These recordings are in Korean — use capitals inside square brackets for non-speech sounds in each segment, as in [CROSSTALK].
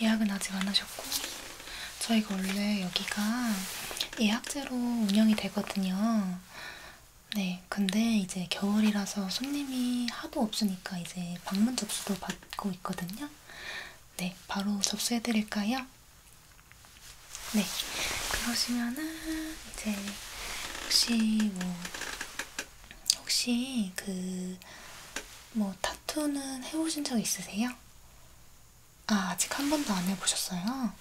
예약은 아직 안 하셨고 저희가 원래 여기가 예약제로 운영이 되거든요. 네, 근데 이제 겨울이라서 손님이 하도 없으니까 이제 방문 접수도 받고 있거든요. 네, 바로 접수해드릴까요? 네, 그러시면은 이제 혹시 뭐 혹시 그 뭐 타투는 해오신 적 있으세요? 아, 아직 한 번도 안 해보셨어요?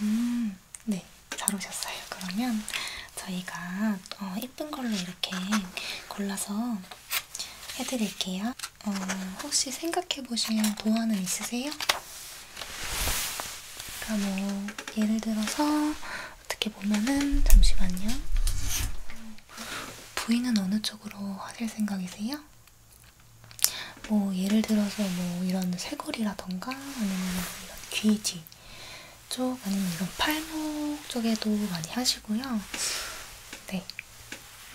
음, 네, 잘 오셨어요. 그러면 저희가 어, 예쁜 걸로 이렇게 골라서 해드릴게요. 어, 혹시 생각해보신 도안은 있으세요? 그러니까 뭐 예를 들어서 어떻게 보면은 잠시만요. 부위는 어느 쪽으로 하실 생각이세요? 뭐 예를 들어서 뭐 이런 쇄골이라던가 아니면 이런 귀지 쪽 아니면 이런 팔목 쪽에도 많이 하시고요. 네.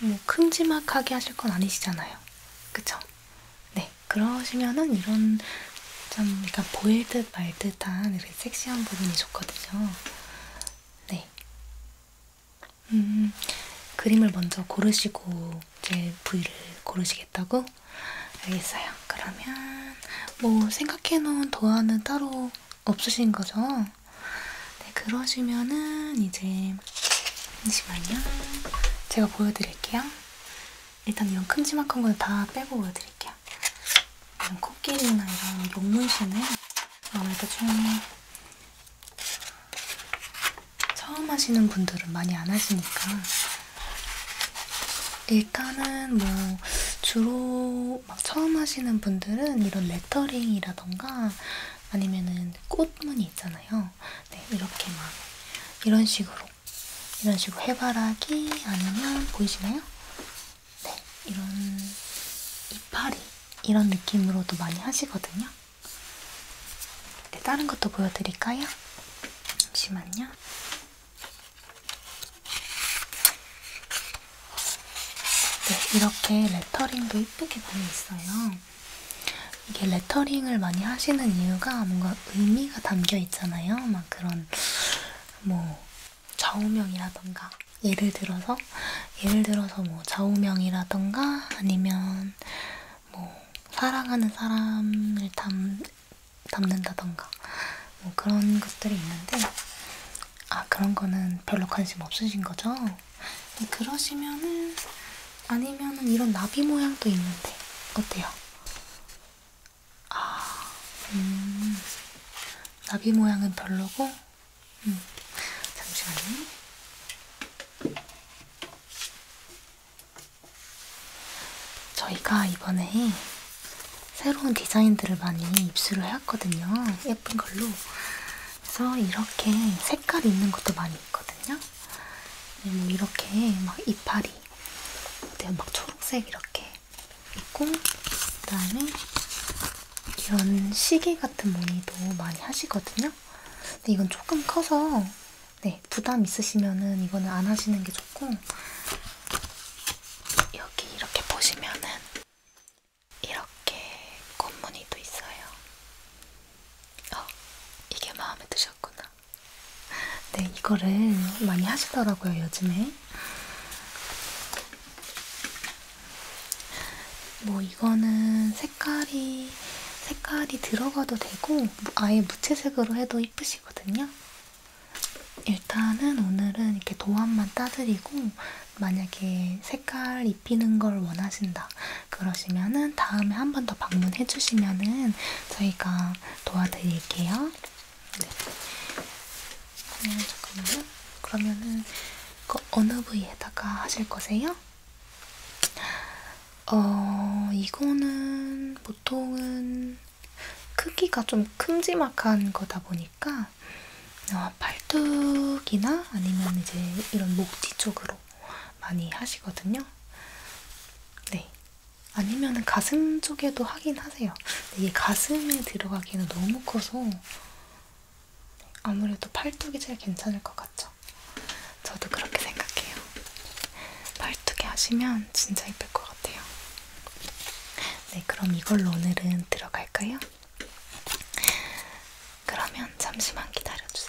뭐 큼지막하게 하실 건 아니시잖아요. 그쵸? 네. 그러시면은 이런 좀 약간 보일 듯 말 듯한 이렇게 섹시한 부분이 좋거든요. 네. 음, 그림을 먼저 고르시고 제 부위를 고르시겠다고? 알겠어요. 그러면 뭐 생각해놓은 도안은 따로 없으신 거죠? 네, 그러시면은 이제 잠시만요. 제가 보여드릴게요. 일단 이런 큼지막한 건다 빼고 보여드릴게요. 이런 코끼리나 이런 용문신은 아무래도 좀 처음 하시는 분들은 많이 안 하시니까 일단은 뭐 주로 막 처음 하시는 분들은 이런 레터링이라던가 아니면은 꽃무늬 있잖아요. 네, 이렇게 막 이런 식으로 이런 식으로 해바라기 아니면 보이시나요? 네, 이런 이파리 이런 느낌으로도 많이 하시거든요. 네, 다른 것도 보여드릴까요? 잠시만요. 네, 이렇게 레터링도 이쁘게 많이 있어요. 이게 레터링을 많이 하시는 이유가 뭔가 의미가 담겨 있잖아요. 막 그런 뭐 좌우명이라던가 예를 들어서 예를 들어서 뭐 좌우명이라던가 아니면 뭐 사랑하는 사람을 담, 담는다던가 뭐 그런 것들이 있는데 아 그런 거는 별로 관심 없으신 거죠? 네, 그러시면은 아니면은 이런 나비 모양도 있는데 어때요? 아, 음, 나비 모양은 별로고 음, 잠시만요. 저희가 이번에 새로운 디자인들을 많이 입수를 해왔거든요. 예쁜 걸로. 그래서 이렇게 색깔 있는 것도 많이 있거든요. 뭐 이렇게 막 이파리, 막 초록색 이렇게 있고, 그 다음에 이런 시계 같은 무늬도 많이 하시거든요. 근데 이건 조금 커서 네 부담 있으시면은 이거는 안 하시는 게 좋고 여기 이렇게 보시면은 이렇게 꽃무늬도 있어요. 어 이게 마음에 드셨구나. 네 이거를 많이 하시더라고요 요즘에. 뭐 이거는 색깔이 색깔이 들어가도 되고 아예 무채색으로 해도 이쁘시거든요. 일단은 오늘은 이렇게 도안만 따드리고 만약에 색깔 입히는 걸 원하신다 그러시면은 다음에 한 번 더 방문해 주시면은 저희가 도와드릴게요. 네. 어, 잠깐만요. 그러면은 그 어느 부위에다가 하실 거세요? 어, 이거는 보통은 크기가 좀 큼지막한 거다 보니까 어, 팔뚝이나 아니면 이제 이런 목 뒤쪽으로 많이 하시거든요. 네. 아니면 가슴 쪽에도 하긴 하세요. 이게 가슴에 들어가기는 너무 커서 아무래도 팔뚝이 제일 괜찮을 것 같죠? 저도 그렇게 생각해요. 팔뚝이 하시면 진짜 예쁠 것 같아요. 네, 그럼 이걸로 오늘은 들어갈까요? 그러면 잠시만 기다려주세요.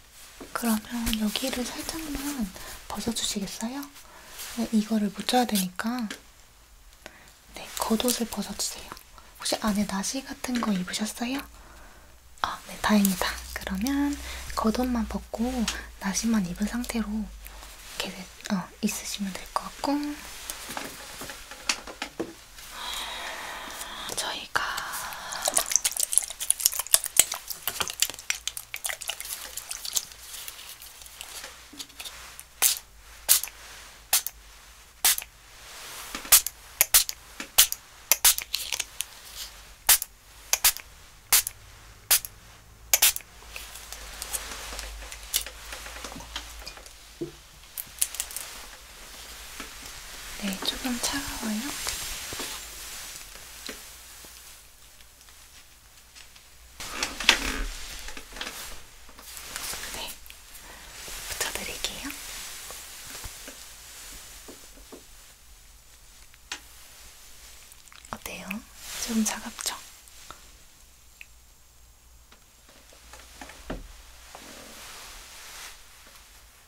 그러면 여기를 살짝만 벗어주시겠어요? 네, 이거를 묻혀야 되니까 네, 겉옷을 벗어주세요. 혹시 안에 나시 같은 거 입으셨어요? 아, 네, 다행이다. 그러면 겉옷만 벗고 나시만 입은 상태로 이렇게 어, 있으시면 될 것 같고 저희가 네, 조금 차가워요. 네, 붙여드릴게요. 어때요? 좀 차갑죠?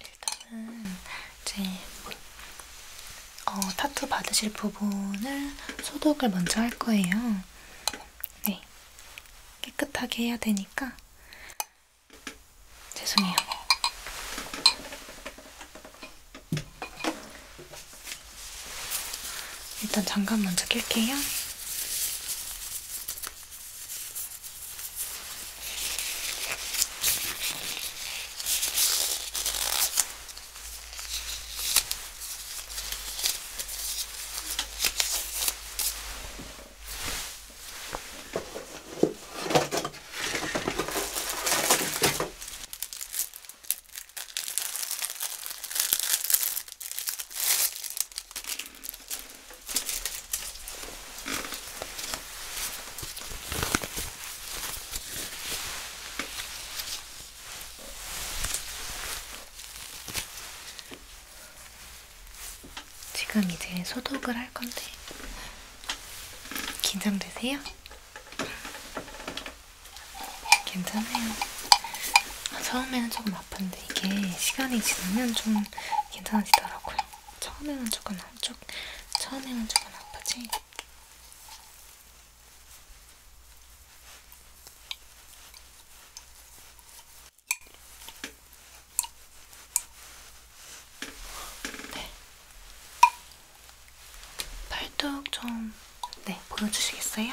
일단은 이제 어, 타투 받으실 부분을 소독을 먼저 할 거예요. 네, 깨끗하게 해야 되니까 죄송해요. 일단 잠깐 먼저 낄게요. 지금 이제 소독을 할 건데 긴장되세요? 괜찮아요. 아, 처음에는 조금 아픈데 이게 시간이 지나면 좀 괜찮아지더라고요. 처음에는 조금 안쪽, 처음에는 조금 아프지. 네. 팔뚝 좀, 네, 보여주시겠어요?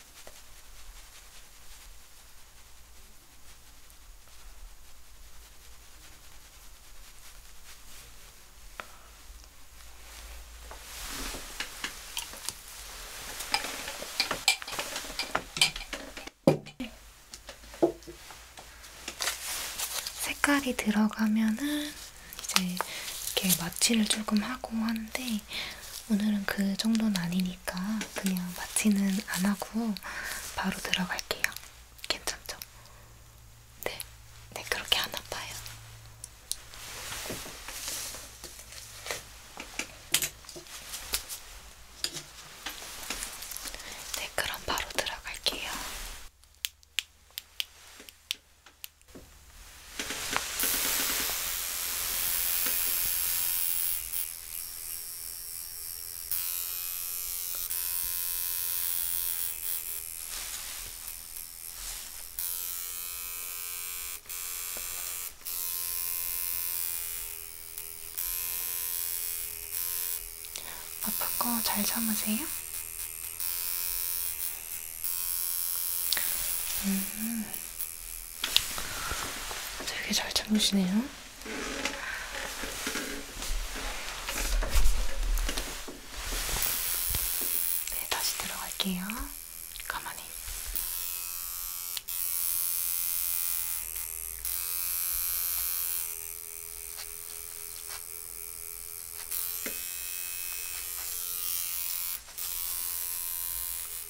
색깔이 들어가면은 이제 이렇게 마취를 조금 하고 하는데 오늘은 그 정도는 아니니까. 거니까 그냥 마취는 안 하고 바로 들어갈게요. 괜찮죠? 네, 네 그렇게 안 아파요. 네, 그럼 바로 들어갈게요. 아픈 거잘 참으세요? 음, 되게 잘 참으시네요. 네, 다시 들어갈게요. 가만히.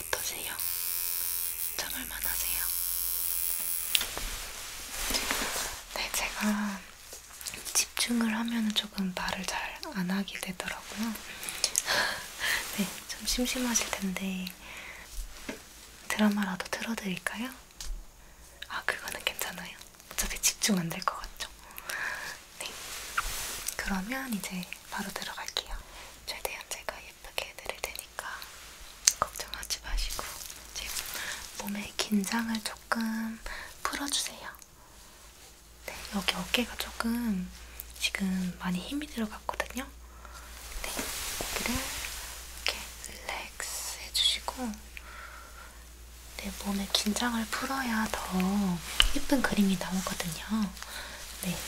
어떠세요? 참을만 하세요? 네, 제가 집중을 하면 조금 말을 잘 안 하게 되더라고요. [LAUGHS] 네, 좀 심심하실 텐데 드라마라도 틀어드릴까요? 아, 그거는 괜찮아요. 어차피 집중 안 될 것 같죠? 네. 그러면 이제 바로 들어갈게요. 최대한 제가 예쁘게 해드릴 테니까 걱정하지 마시고 제 몸의 긴장을 조금 풀어주세요. 네, 여기 어깨가 조금 지금 많이 힘이 들어가 같거든요. 네, 여기를 이렇게 릴렉스 해주시고 네, 몸의 긴장을 풀어야 더 예쁜 그림이 나오거든요. 네,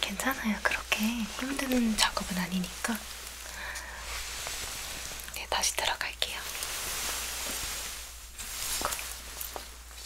괜찮아요. 그렇게 힘든 작업은 아니니까. 네, 다시 들어갈게요.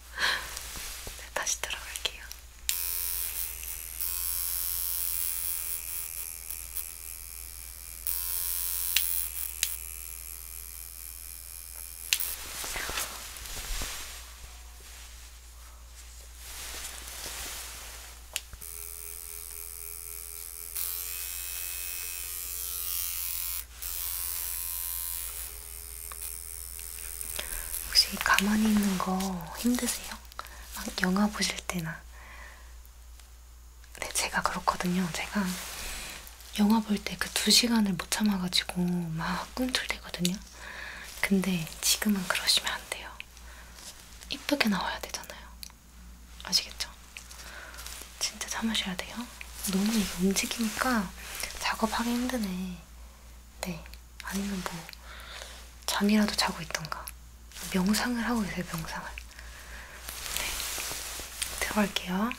네, 다시 들어갈게요. 혹시 가만히 있는 거 힘드세요? 막 영화 보실 때나. 네, 제가 그렇거든요. 제가 영화 볼 때 그 두 시간을 못 참아가지고 막 꿈틀대거든요. 근데 지금은 그러시면 안 돼요. 이쁘게 나와야 되잖아요. 아시겠죠? 진짜 참으셔야 돼요. 너무 이게 움직이니까 작업하기 힘드네. 네. 아니면 뭐 잠이라도 자고 있던가. 명상을 하고 계세요, 명상을. 네. 들어갈게요.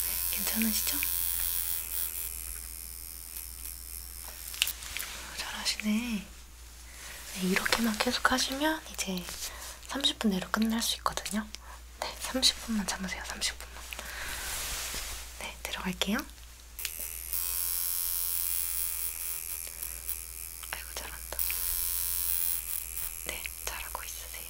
네, 괜찮으시죠? 잘하시네. 네, 이렇게만 계속 하시면 이제 30분 내로 끝날 수 있거든요. 네, 30분만 참으세요. 30분만. 네, 들어갈게요. 아이고, 잘한다. 네, 잘하고 있으세요.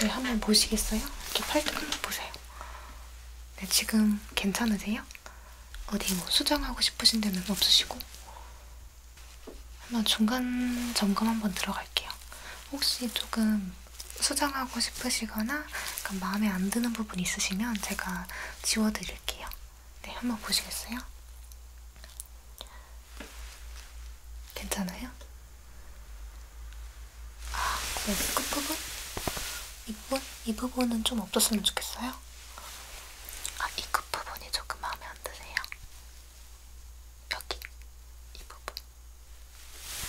네, 한번 보시겠어요? 이렇게 팔뚝 한번 보세요. 네, 지금 괜찮으세요? 어디 뭐 수정하고 싶으신 데는 없으시고? 한번 중간 점검 한번 들어갈게요. 혹시 조금 수정하고 싶으시거나 약간 마음에 안 드는 부분 있으시면 제가 지워드릴게요. 네, 한번 보시겠어요? 괜찮아요? 아, 네, 그리고 끝부분? 이 부분? 이 부분은 좀 없었으면 좋겠어요? 아, 이 끝부분이 그 조금 마음에 안 드세요? 여기, 이 부분.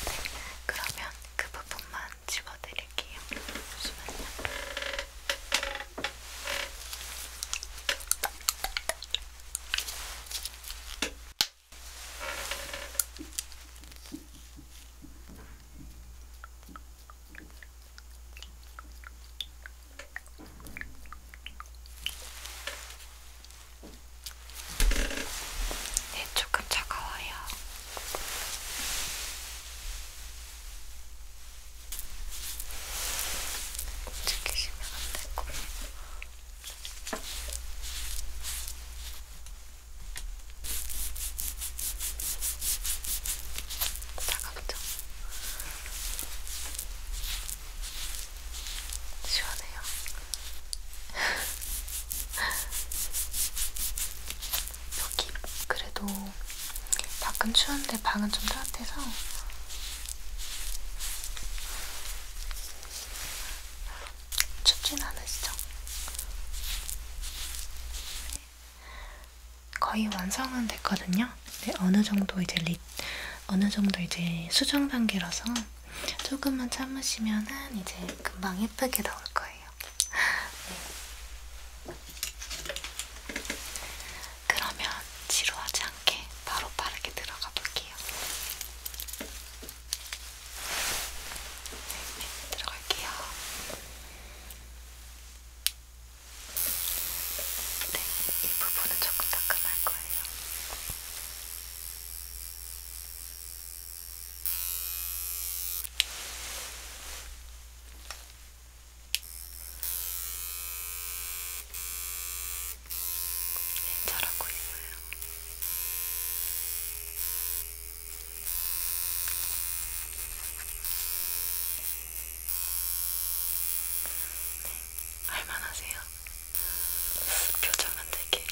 네, 그러면 그 부분만 집어드릴게요. 잠시만요. 네, 조금 차가워요. 지키시면 안 되고. 차갑죠? 시원해요. [LAUGHS] 여기 그래도 밖은 추운데 방은 좀 따뜻해서 춥진 않으시죠? 네. 거의 완성은 됐거든요. 근데 어느 정도 이제 리, 어느 정도 이제 수정 단계라서 조금만 참으시면은 이제 금방 예쁘게 나올 거예요. 네. 그러면 지루하지 않게 바로 빠르게 들어가 볼게요. 들어갈게요. 네, 이 부분은 조금 따끔할 거예요. 네, 잘하고 있어요. 네, 할만하세요? 표정은 되게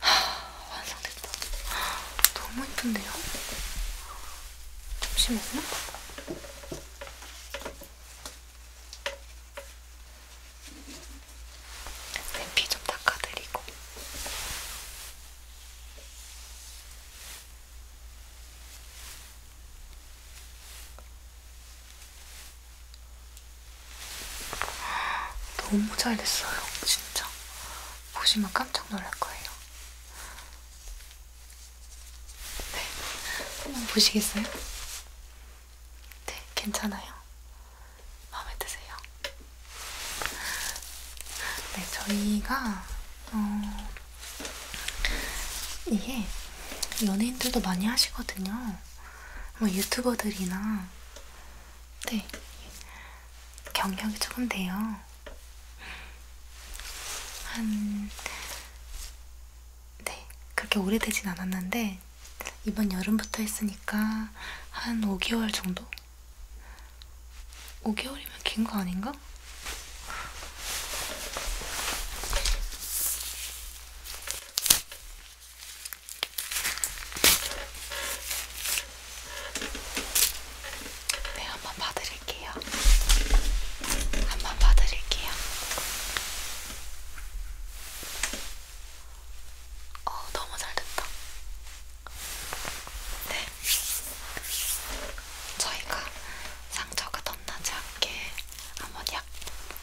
하, 완성됐다. 너무 예쁜데요? 잠시만요. 샘피 좀 닦아드리고 너무 잘 됐어요, 진짜. 보시면 깜짝 놀랄 거예요. 네, 한번 보시겠어요? 네, 괜찮아요. 마음에 드세요? 네, 저희가 어, 이게 연예인들도 많이 하시거든요. 뭐 유튜버들이나 네 경력이 조금 돼요. 한 네, 그렇게 오래되진 않았는데 이번 여름부터 했으니까 한 5개월 정도? 5개월이면 긴 거 아닌가? 네, 한 번 봐드릴게요. 한 번 봐드릴게요. 어, 너무 잘 됐다. 네. 저희가 상처가 덧나지 않게 한번 약,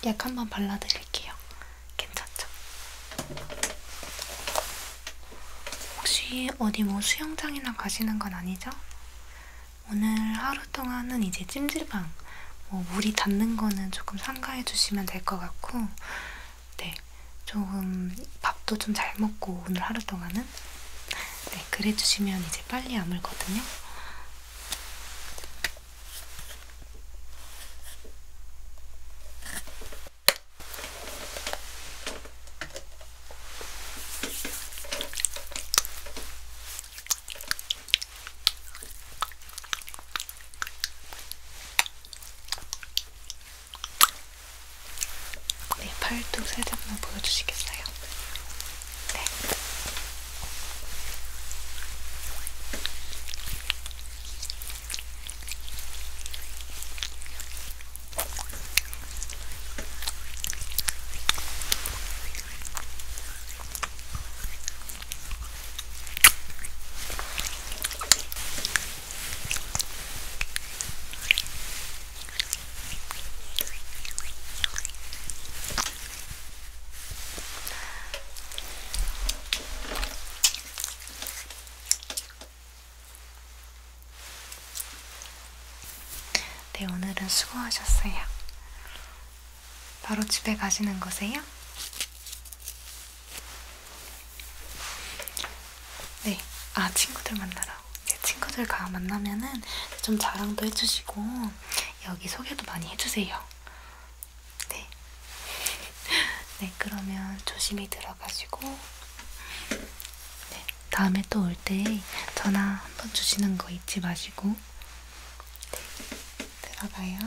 약 한번 발라드릴게요. 괜찮죠? 혹시 어디 뭐 수영장이나 가시는 건 아니죠? 오늘 하루 동안은 이제 찜질방, 뭐 물이 닿는 거는 조금 삼가해 주시면 될 것 같고 네, 조금 밥도 좀 잘 먹고 오늘 하루 동안은 네, 그래주시면 이제 빨리 아물거든요. 네, 팔뚝 살짝만 보여주시겠어요? 네. 네, 네, 오늘은 수고하셨어요. 바로 집에 가시는 거세요? 네, 아 친구들 만나라고. 네, 친구들 가 만나면은 좀 자랑도 해주시고 여기 소개도 많이 해주세요. 네, [LAUGHS] 네 그러면 조심히 들어가시고 네, 다음에 또 올 때 전화 한 번 주시는 거 잊지 마시고 네, 들어가요.